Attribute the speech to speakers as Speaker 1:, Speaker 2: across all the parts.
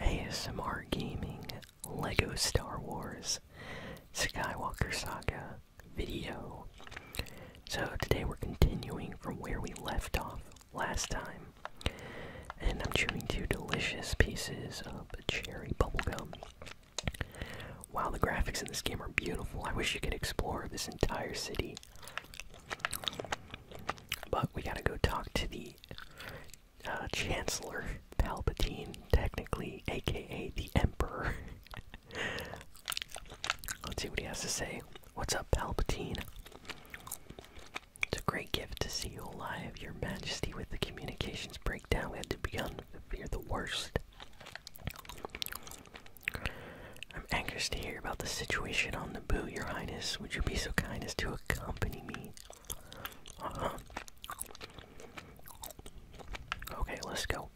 Speaker 1: ASMR Gaming, Lego Star Wars, Skywalker Saga video. So today we're continuing from where we left off last time. And I'm chewing two delicious pieces of cherry bubble gum. While the graphics in this game are beautiful. I wish you could explore this entire city. But we gotta go talk to the uh, Chancellor Palpatine, technically, aka the Emperor. Let's see what he has to say. What's up, Palpatine? It's a great gift to see you alive, Your Majesty. With the communications breakdown, we had to be on fear the worst. I'm anxious to hear about the situation on Naboo, Your Highness. Would you be so kind as to accompany me? Uh-huh. Okay, let's go.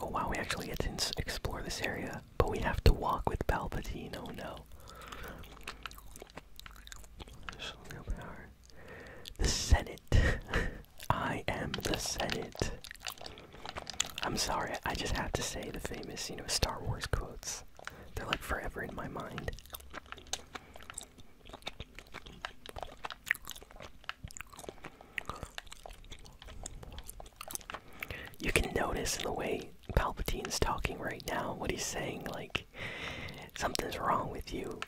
Speaker 1: Oh wow, we actually get to explore this area, but we have to walk with Palpatine. Oh no. The Senate. I am the Senate. I'm sorry, I just have to say the famous, you know, Star Wars quotes. They're like forever in my mind. You can notice in the way Palpatine's talking right now what he's saying, like, something's wrong with you.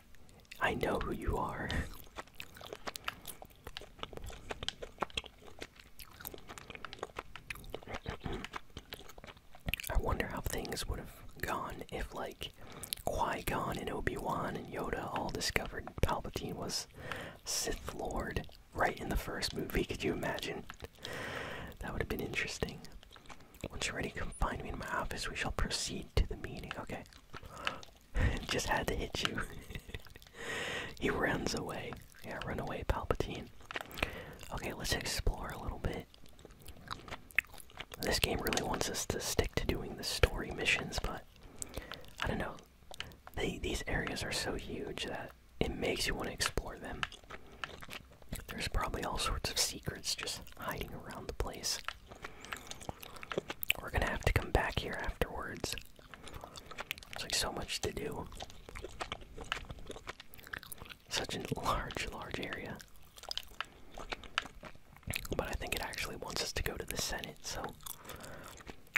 Speaker 1: I know who you are. I wonder how things would have gone if, like, Qui Gon and Obi Wan and Yoda all discovered Palpatine was Sith Lord right in the first movie. Could you imagine? That would have been interesting. Once you're ready, come find me in my office. We shall proceed to the meeting. Okay. Just had to hit you. he runs away. Yeah, run away, Palpatine. Okay, let's explore a little bit. This game really wants us to stick to doing the story missions, but I don't know. these areas are so huge that it makes you want to explore them. There's probably all sorts of secrets just hiding around the place. We're gonna have to come back here afterwards. There's like so much to do. Such a large, large area. But I think it actually wants us to go to the Senate, so.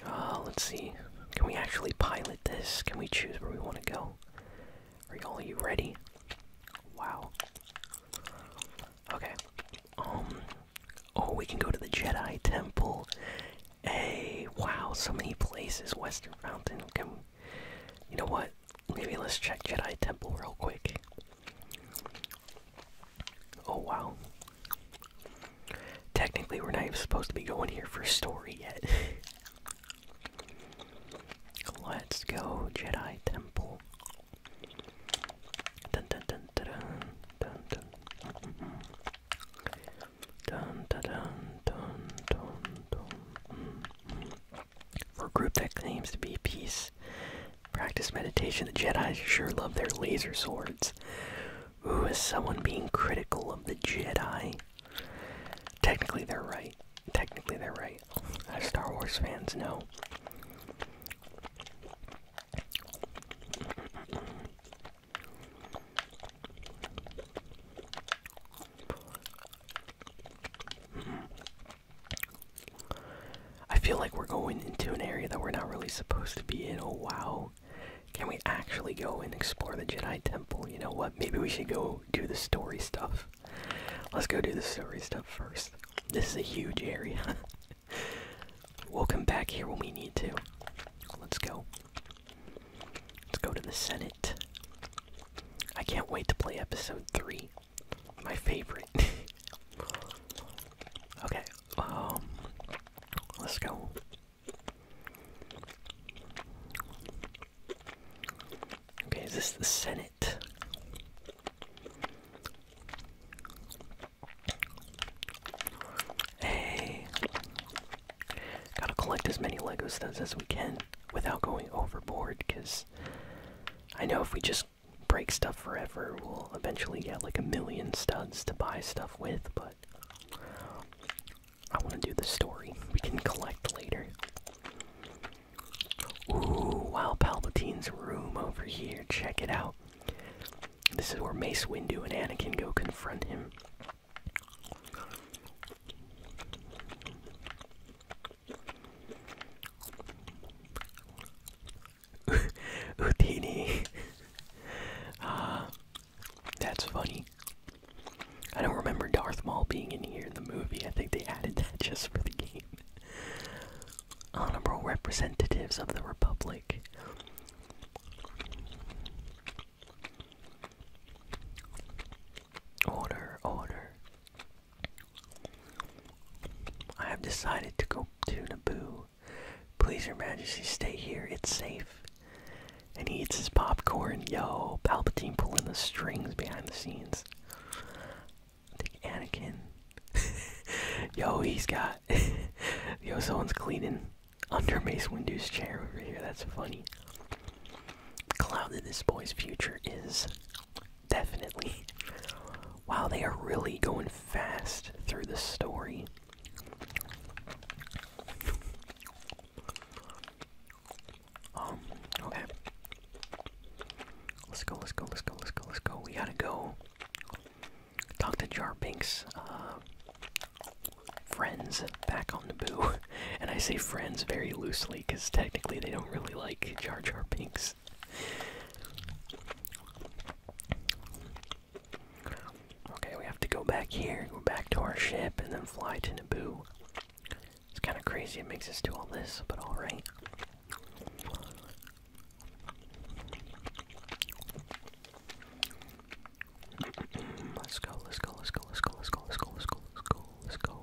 Speaker 1: Uh, let's see. Can we actually pilot this? Can we choose where we want to go? Are you all you ready? Wow. Okay. Um. Oh, we can go to the Jedi Temple. Hey, wow, so many places. Western Mountain. Can you know what? Maybe let's check Jedi Temple real quick. Oh wow. Technically, we're not even supposed to be going here for story yet. Let's go, Jedi Temple. For a group that claims to be peace, practice meditation, the Jedi sure love their laser swords. Ooh, someone being critical of the Jedi? Technically, they're right. Technically, they're right. As Star Wars fans know. I feel like we're going into an area that we're not really supposed to be in. Oh wow. Can we actually go and explore the Jedi Temple? You know what? Maybe we should go do the story stuff. Let's go do the story stuff first. This is a huge area. we'll come back here when we need to. Let's go. Let's go to the Senate. I can't wait to play episode 3. My favorite. okay, um, let's go. Okay, is this the Senate? Hey! Gotta collect as many Lego studs as we can without going overboard, because I know if we just break stuff forever, we'll eventually get like a million studs to buy stuff with, but I want to do the story. We can collect later. Ooh, wow, Palpatine's room over here. Check it out. This is where Mace Windu and Anakin go confront him. Houdini. uh, ah, that's funny. I don't remember Darth Maul being in here in the movie. I think they added that just for the game. Honorable representatives of the Republic. Order, order. I have decided to go to Naboo. Please, Your Majesty, stay here. It's safe. And he eats his popcorn. Yo, Palpatine pulling the strings behind the scenes. I Anakin. Yo, he's got. Yo, someone's cleaning. Under Mace Windu's chair over here, that's funny. Clouded this boy's future is definitely. Wow, they are really going fast through the story. Um, okay. Let's go, let's go, let's go, let's go, let's go. We gotta go talk to Jar Pink's uh, friends back on Naboo, and I say friends very loosely because technically they don't really like Jar Jar Pink's. Okay, we have to go back here, go back to our ship, and then fly to Naboo. It's kind of crazy it makes us do all this, but alright. Let's go, let's go, let's go, let's go, let's go, let's go, let's go, let's go, let's go.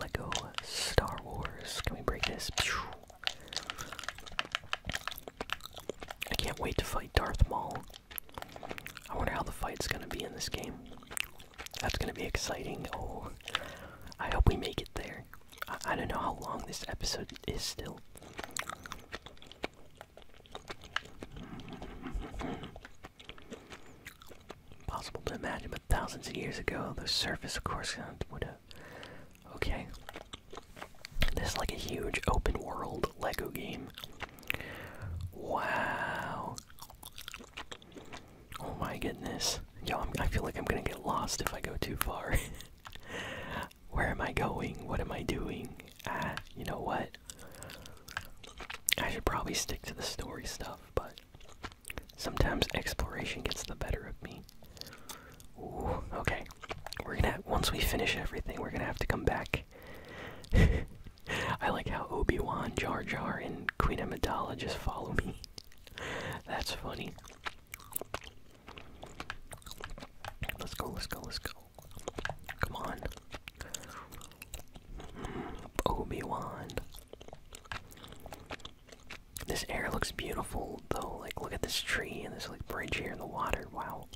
Speaker 1: Lego Star Wars. Can we break this? I can't wait to fight Darth Maul. I wonder how the fight's gonna be in this game. That's gonna be exciting. Oh, I hope we make it there. I, I don't know how long this episode is still. Impossible to imagine, but thousands of years ago, the surface, of course, uh, would have. Okay. This is like a huge open world Lego game. Wow. Oh my goodness. Yo, I feel like I'm gonna get lost if I go too far. where am I going? What am I doing? Ah, you know what? I should probably stick to the story stuff, but sometimes exploration gets the better of me. Ooh, okay. We're gonna once we finish everything, we're gonna have to come back. I like how Obi Wan, Jar Jar, and Queen Amidala just follow me. That's funny. Let's go, let's go, let's go. Come on. Mm, Obi-Wan. This air looks beautiful though. Like look at this tree and this like bridge here in the water. Wow.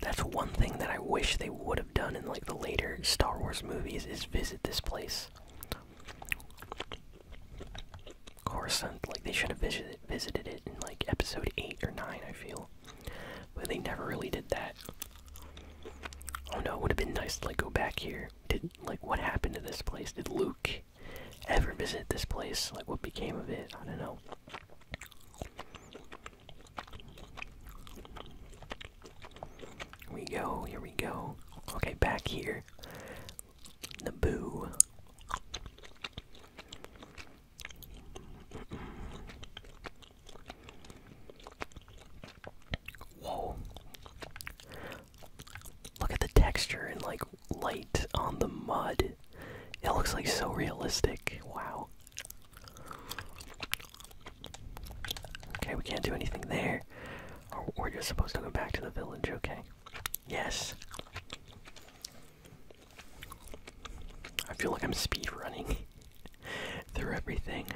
Speaker 1: That's one thing that I wish they would have done in like the later Star Wars movies Is visit this place. Of course, like they should have visited visited it in like episode eight or nine. I feel, but they never really did that. Oh no, it would have been nice to like go back here. Did like what happened to this place? Did Luke ever visit this place? Like what became of it? I don't know. Here we go, here we go. Okay, back here. Naboo. Whoa. Look at the texture and like light on the mud. It looks like so realistic. Wow. Okay, we can't do anything there. Or oh, we're just supposed to go back to the village, okay? Yes. I feel like I'm speed running through everything.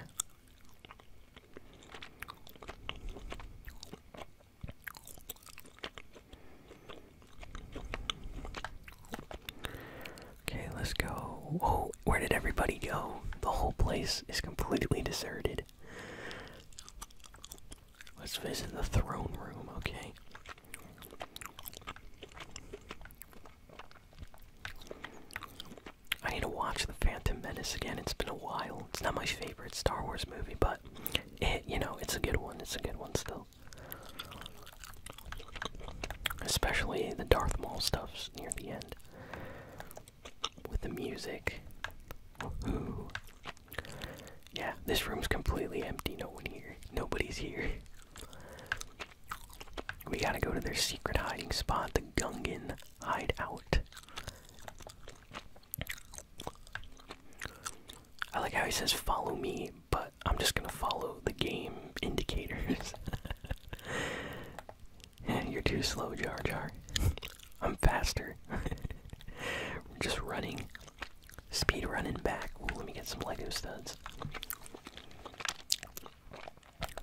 Speaker 1: Okay, let's go. Oh, where did everybody go? The whole place is completely deserted. Let's visit the throne room, okay? I need to watch The Phantom Menace again. It's been a while. It's not my favorite Star Wars movie, but it, you know, it's a good one. It's a good one still. Especially the Darth Maul stuffs near the end with the music. Yeah, this room's completely empty. No one here. Nobody's here. We gotta go to their secret hiding spot, the Gungan Hideout. I like how he says follow me, but I'm just gonna follow the game indicators. You're too slow, Jar Jar. I'm faster. We're just running. Speed running back. let me get some Lego studs.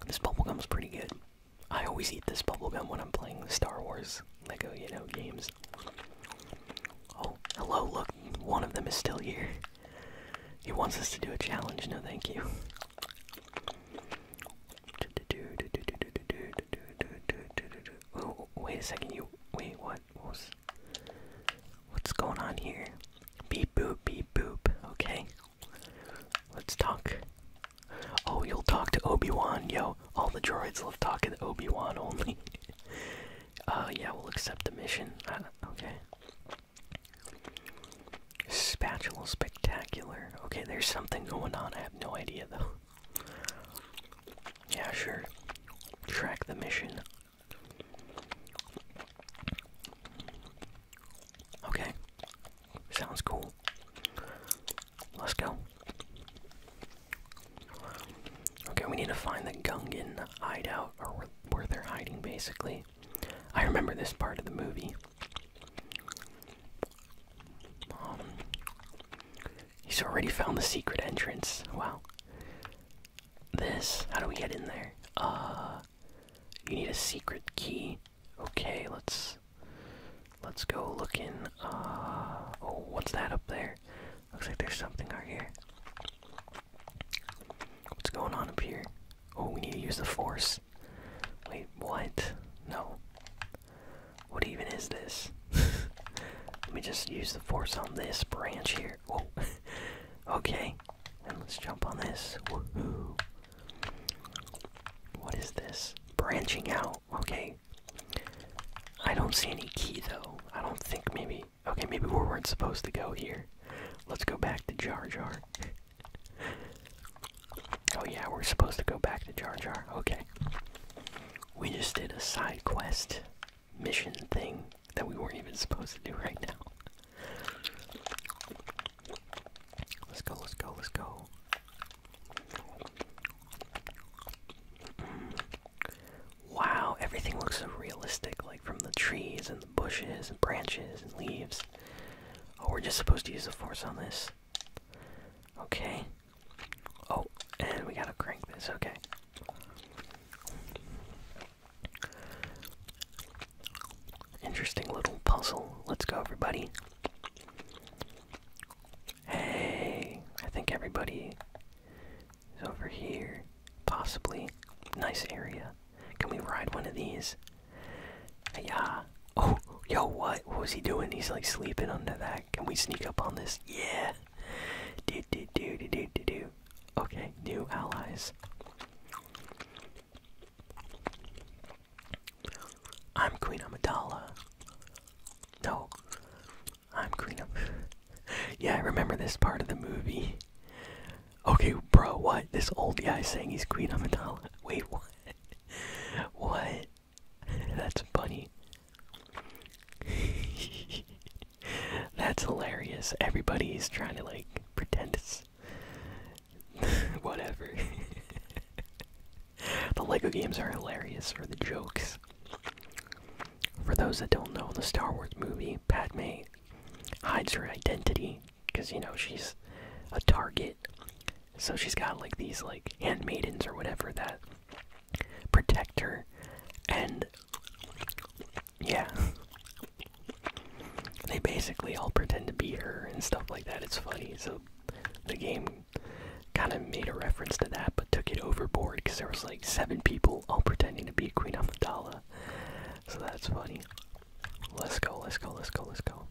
Speaker 1: This is pretty good. I always eat this bubblegum when I'm playing the Star Wars Lego, you know, games. Oh, hello, look, one of them is still here. He wants us to do a challenge, no thank you. wait a second, you. Wait, what? was, what's going on here? Beep boop, beep boop. Okay. Let's talk. Oh, you'll talk to Obi-Wan, yo. All the droids love talking to Obi-Wan only. uh, yeah, we'll accept the mission. Uh, okay. Spatula spectacular. Okay, there's something going on. I have no idea though. Yeah, sure. Track the mission. Okay. Sounds cool. Let's go. Okay, we need to find the Gungan hideout, or where they're hiding, basically. I remember this part of the movie he's already found the secret entrance. Wow. This, how do we get in there? Uh, you need a secret key. Okay, let's let's go look in. Uh, oh, what's that up there? Looks like there's something out here. What's going on up here? Oh, we need to use the force. Wait, what? No. What even is this? Let me just use the force on this branch here. Oh, okay. And let's jump on this. What is this? Branching out. Okay. I don't see any key though. I don't think maybe. Okay, maybe we weren't supposed to go here. Let's go back to Jar Jar oh yeah, we're supposed to go back to Jar Jar. Okay. We just did a side quest mission thing that we weren't even supposed to do right now. Let's go, let's go, let's go. Mm. Wow, everything looks so realistic, like from the trees and the bushes and branches and leaves. Oh, we're just supposed to use the force on this. Okay. Oh, and we gotta crank this, okay. Interesting little puzzle. Let's go, everybody. Hey, I think everybody is over here. Possibly. Nice area. Can we ride one of these? Yeah. Oh, yo, what? What was he doing? He's like sleeping under that. Can we sneak up on this? Yeah. Do do do do do do do. Okay, new allies. I'm Queen Amidala. No. I'm Queen Am. yeah, I remember this part of the movie. Okay, bro, what? This old guy saying he's Queen Amidala. Wait, what? what? That's funny. That's hilarious. Everybody's trying to like pretend it's whatever. the Lego games are hilarious for the jokes. For those that don't know, the Star Wars movie, Padme hides her identity because you know she's a target. So she's got like these like handmaidens or whatever that protect her, and yeah, they basically all pretend to be her and stuff like that. It's funny. So the game kind of made a reference to that, but took it overboard because there was like seven people all pretending to be Queen Amidala. So that's funny. Let's go, let's go, let's go, let's go.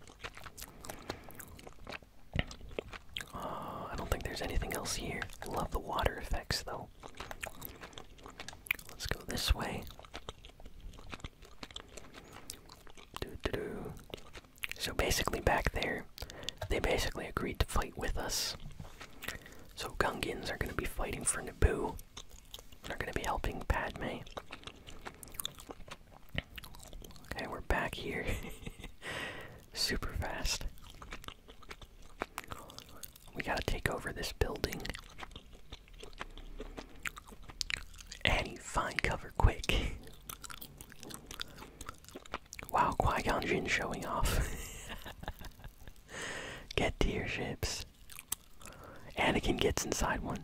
Speaker 1: Uh, I don't think there's anything else here. love the water effects though. Let's go this way. Doo -doo -doo. So basically, back there, they basically agreed to fight with us. So Gungans are gonna be fighting for Naboo. They're gonna be helping Padme. Okay, we're back here. Super fast. We gotta take over this building. Annie, find cover quick. Wow, Qui Gon Jinn showing off. Get to your ships. Anakin gets inside one.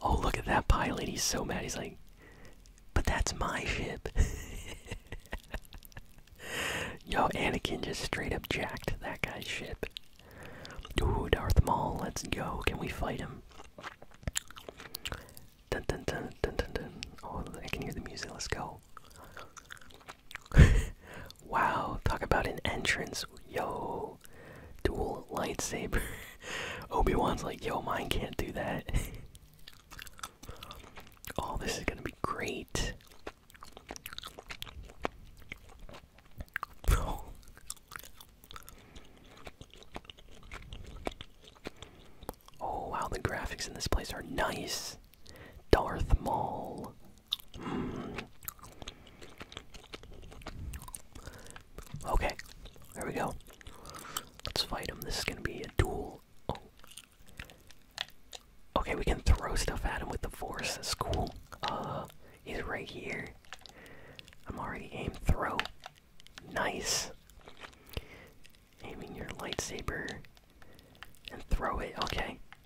Speaker 1: Oh, look at that pilot. He's so mad. He's like, but that's my ship. Yo, Anakin just straight up jacked that guy's ship. Ooh, Darth Maul, let's go. Can we fight him? Dun dun dun dun dun dun. Oh, I can hear the music. Let's go. wow, talk about an entrance. Yo, dual lightsaber. Obi-Wan's like, yo, mine can't do that. oh, this is gonna be great. Oh wow, the graphics in this place are nice. Darth Maul. Hmm. Okay, there we go. Let's fight him. This is gonna be a duel. Oh. Okay, we can throw stuff at him with the force. That's cool. Uh, he's right here. I'm already aim throw. Nice. Aiming your lightsaber and throw it. Okay,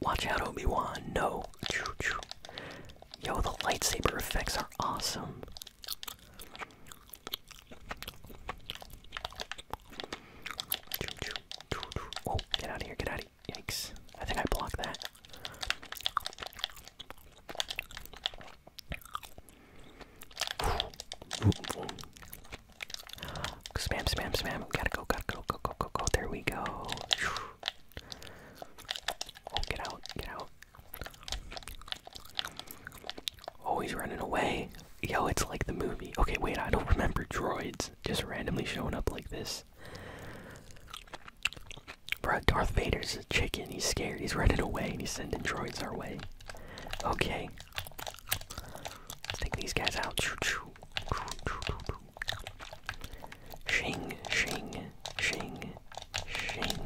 Speaker 1: Watch out, Obi Wan. No. Choo -choo. Yo, the lightsaber effects are awesome. Oh, get out of here, get out of here. Yikes. I think I blocked that. Spam, spam, spam. gotta go, gotta go, go, go, go, go. There we go. Oh, get out, get out. Oh, he's running away. Yo, it's like the movie. Okay, wait, I don't remember droids just randomly showing up like this. Bruh, Darth Vader's a chicken. He's scared. He's running away and he's sending droids our way. Okay. Let's take these guys out. Shing, shing, shing, shing.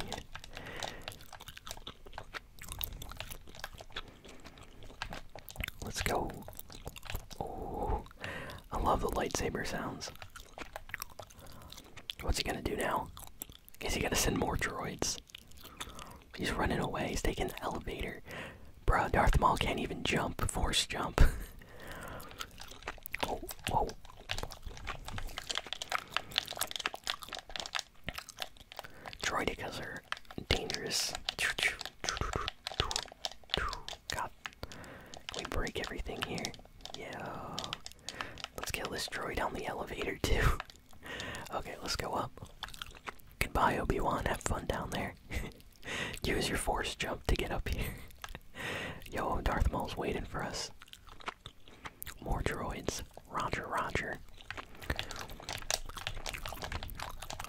Speaker 1: Let's go. Oh, I love the lightsaber sounds. What's he gonna do now? Is he gonna send more droids? He's running away. He's taking the elevator. Bro, Darth Maul can't even jump. Force jump. oh, whoa. they are dangerous. God. we break everything here? Yeah. Let's kill this droid on the elevator, too. okay, let's go up. Goodbye, Obi-Wan. Have fun down there. Use your force jump to get up here. Yo, Darth Maul's waiting for us. More droids. Roger, Roger.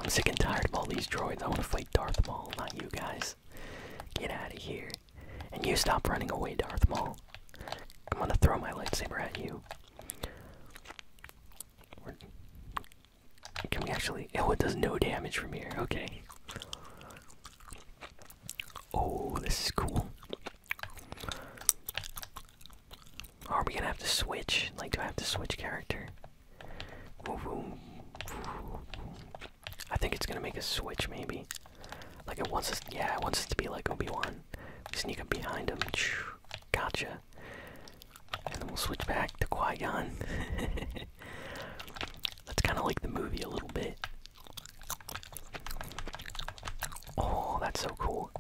Speaker 1: I'm sick and tired of all these droids. I want to fight Darth Maul, not you guys. Get out of here. And you stop running away, Darth Maul. I'm gonna throw my lightsaber at you. Can we actually? Oh, it does no damage from here. Okay. Oh, this is cool. Are we gonna have to switch? Like, do I have to switch character? I think it's gonna make a switch, maybe. Like, it wants us. Yeah, it wants us to be like Obi Wan. We sneak up behind him. Gotcha and then we'll switch back to Qui Gon. That's kind of like the movie a little bit. Oh, that's so cool.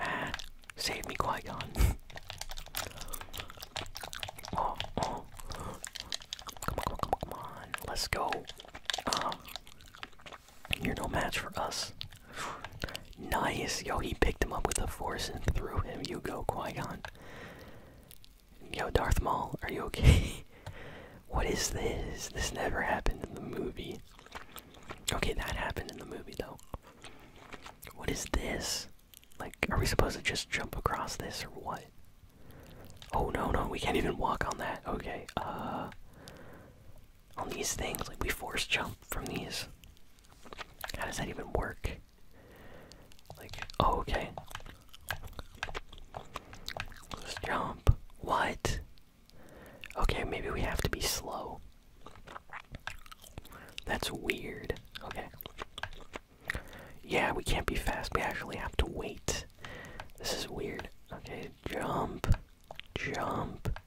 Speaker 1: Ah, save me, Qui Gon. Oh, oh. Come on, come on, come on, come on. Let's go. Ah. you're no match for us. Nice! Yo, he picked him up with the force and threw him. You go, Qui Gon. Yo, Darth Maul, are you okay? what is this? This never happened in the movie. Okay, that happened in the movie, though. What is this? Like, are we supposed to just jump across this or what? Oh no, no, we can't even walk on that. Okay, uh. On these things, like, we force jump from these. How does that even work? like, oh, okay. Let's jump. What? Okay, maybe we have to be slow. That's weird. Okay. Yeah, we can't be fast. We actually have to wait. This is weird. Okay, jump, jump,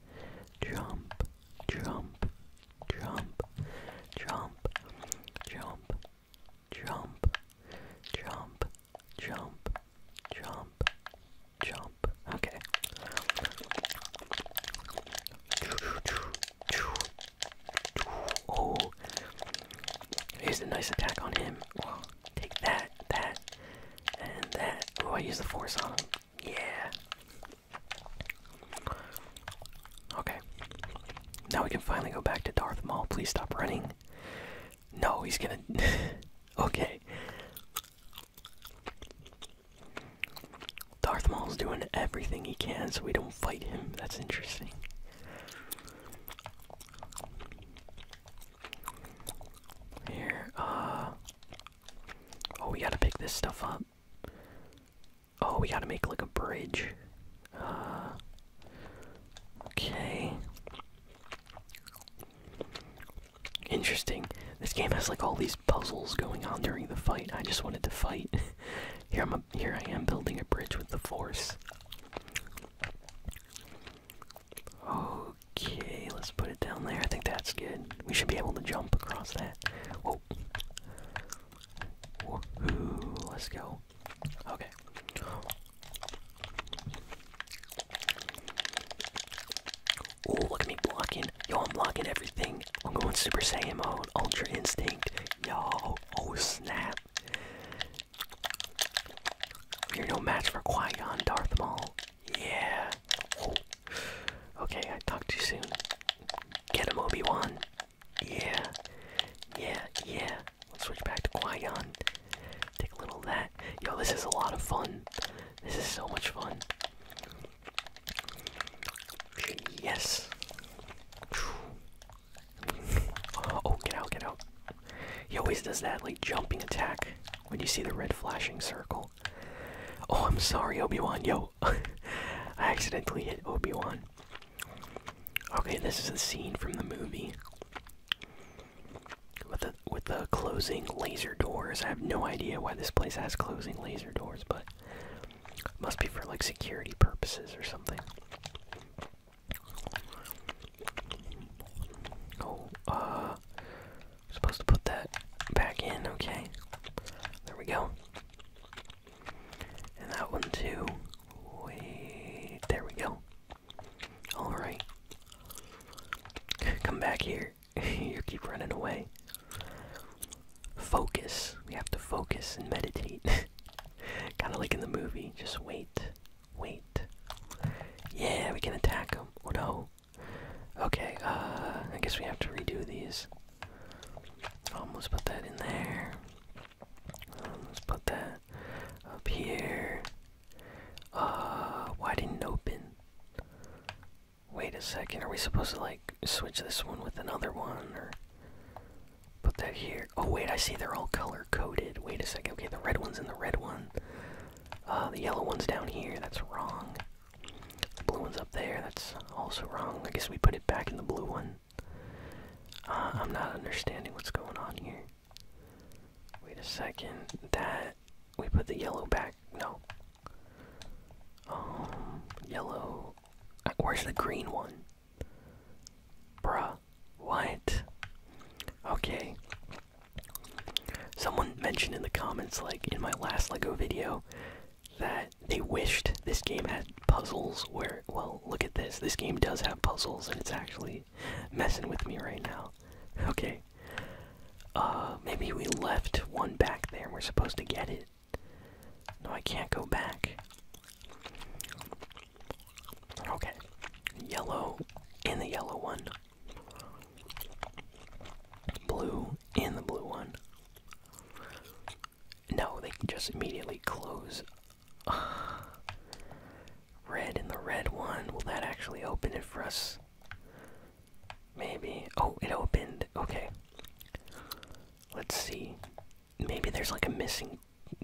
Speaker 1: jump, jump, jump, jump, jump, jump, jump, jump, jump, jump. Okay. Oh, here's a nice attack on him. Well, take that, that, and that. Oh, I use the force on him. Yeah. Okay. Now we can finally go back to Darth Maul. Please stop running. No, he's gonna. okay. Darth Maul's doing everything he can so we don't fight him. That's interesting. Here, uh. Oh, we gotta pick this stuff up. Oh, we gotta make like a bridge. Uh, okay. Interesting. This game has like all these puzzles going on during the fight. I just wanted to fight. here I'm. here I am building a bridge with the force. Okay, let's put it down there. I think that's good. We should be able to jump across that. Let's go. Okay. Oh, look at me blocking. Yo, I'm blocking everything. I'm going Super Saiyan mode. Ultra Instinct. Yo. Oh, snap. You're no match for Qui-Gon Darth Maul. Yeah. Okay, I talked too soon. Get him, Obi-Wan. Yeah. Yeah, yeah. Let's switch back to Qui-Gon. Take a little of that. Yo, this is a lot of fun. This is so much fun. Yes. Oh, get out, get out. He always does that, like, jumping attack when you see the red flashing circle. Oh, I'm sorry, Obi-Wan. Yo, I accidentally hit Obi-Wan. Okay, this is a scene from the movie. With the with the closing laser doors. I have no idea why this place has closing laser doors, but it must be for like security purposes or something. Oh, uh supposed to put that back in, okay. There we go. And that one too. Wait, there we go. Alright. Come back here. you keep running away. Focus. We have to focus and meditate. kind of like in the movie. Just wait. Wait. Yeah, we can attack them. Oh no. Okay, uh, I guess we have to redo these. Almost put that in there. let's put that up here. Uh, why didn't open? Wait a second, are we supposed to like switch this one with another one or put that here? Oh wait, I see they're all color coded. Wait a second, okay, the red one's and the red one. Uh, the yellow one's down here, that's wrong. The blue one's up there. That's also wrong. I guess we put it back in the blue one. Uh, I'm not understanding what's going on here. Wait a second. That we put the yellow back. No. Um, yellow. Where's the green one? Bruh. What? Okay. Someone mentioned in the comments, like in my last LEGO video, that they wished this game had puzzles where well look at this this game does have puzzles and it's actually messing with me right now okay uh maybe we left one back there we're supposed to get it no i can't go back okay yellow in the yellow one blue in the blue one no, they can just immediately close. red and the red one. Will that actually open it for us? Maybe. Oh, it opened. Okay. Let's see. Maybe there's like a missing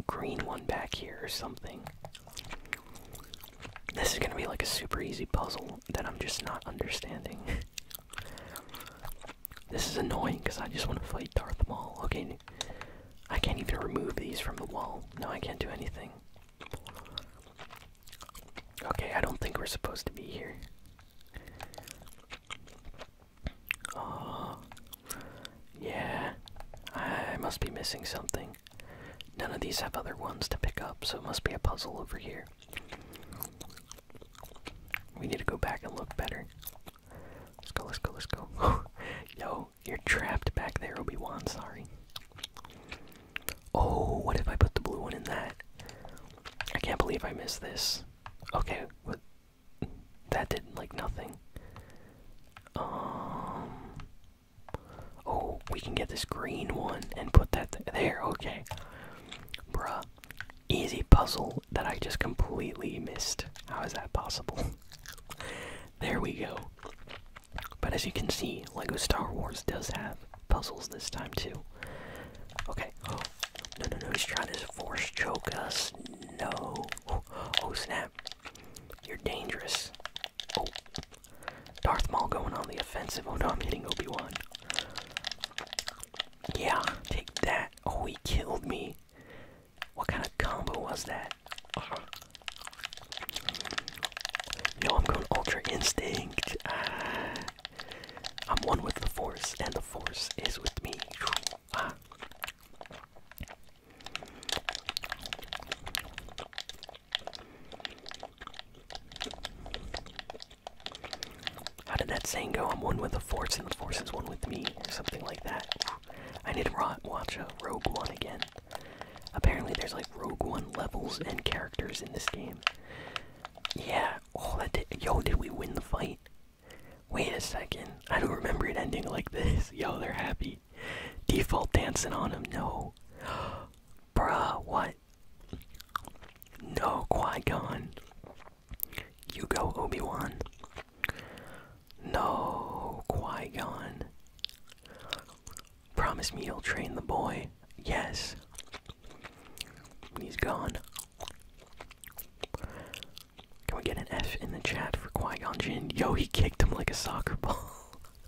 Speaker 1: green one back here or something. This is gonna be like a super easy puzzle that I'm just not understanding. This is annoying because I just want to fight Darth Maul. Okay, I can't even remove these from the wall. No, I can't do anything. Okay, I don't think we're supposed to be here. Oh, yeah. I must be missing something. None of these have other ones to pick up, so it must be a puzzle over here. We need to go back and look better. Let's go, let's go, let's go. Yo, you're trapped back there, Obi-Wan, sorry. Oh, what if I put the blue one in that? I can't believe I missed this. Okay, what? That did, not like, nothing. Um... Oh, we can get this green one and put that there, okay. Bruh, easy puzzle that I just completely missed. How is that possible? there we go. But as you can see, LEGO Star Wars does have puzzles this time too. Okay. Oh, no, no, no, he's trying to force choke us. No. Oh, snap. You're dangerous. Oh. Darth Maul going on the offensive. Oh no, I'm hitting Obi-Wan. Yeah, take that. Oh, he killed me. What kind of combo was that? Uh, I'm going Ultra Instinct. Ah. I'm one with the Force, and the Force is with me. How did that saying go? I'm one with the force, and the force is one with me, or something like that. I need to watch a Rogue One again. Apparently, there's like Rogue One levels and characters in this game. Yeah. Oh, that did. Yo, did we win the fight? Wait a second. I don't remember it ending like this. Yo, they're happy. Default dancing on him. No. Bruh, what? No, Qui Gon. You go, Obi Wan. No, Qui Gon. Promise me you'll train the boy. Yes. He's gone. Can we get an F in the chat for Qui Gon Jinn? Yo, he kicked him like a soccer ball.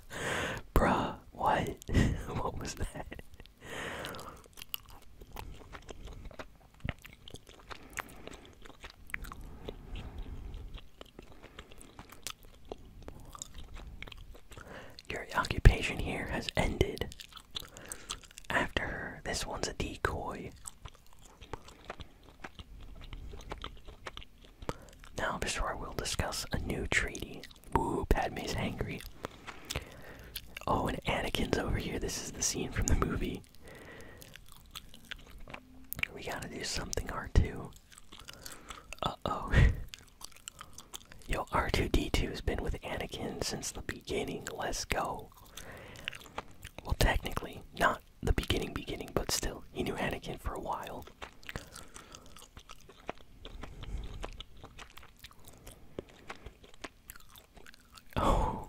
Speaker 1: Bruh, what? what was that? Your occupation here has ended. After this one's a decoy. Now, we will discuss a new treaty. Woo, Padme's angry. Oh, and Anakin's over here. This is the scene from the movie. We gotta do something, R2. Uh oh. Yo, R2D2 has been with Anakin since the beginning. Let's go. Well, technically, not the beginning, beginning, but still, he knew Anakin for a while. Oh.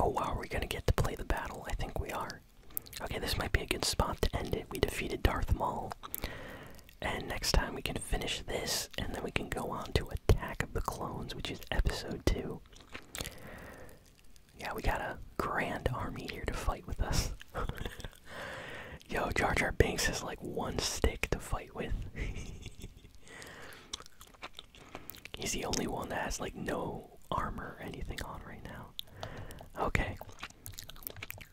Speaker 1: Oh are we gonna get to play the battle? I think we are. Okay, this might be a good spot to end it. We defeated Darth Maul. And next time we can finish this, and then we can go on to Attack of the Clones, which is episode 2. Yeah, we got a grand army here to fight with us. Yo, Jar Jar Binks has like one stick to fight with. He's the only one that has like no armor or anything on right now. Okay.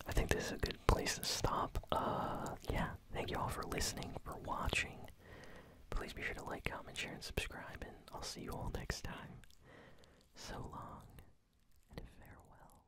Speaker 1: I think this is a good place to stop. Uh yeah. Thank you all for listening, for watching. Please be sure to like, comment, share, and subscribe, and I'll see you all next time. So long and farewell.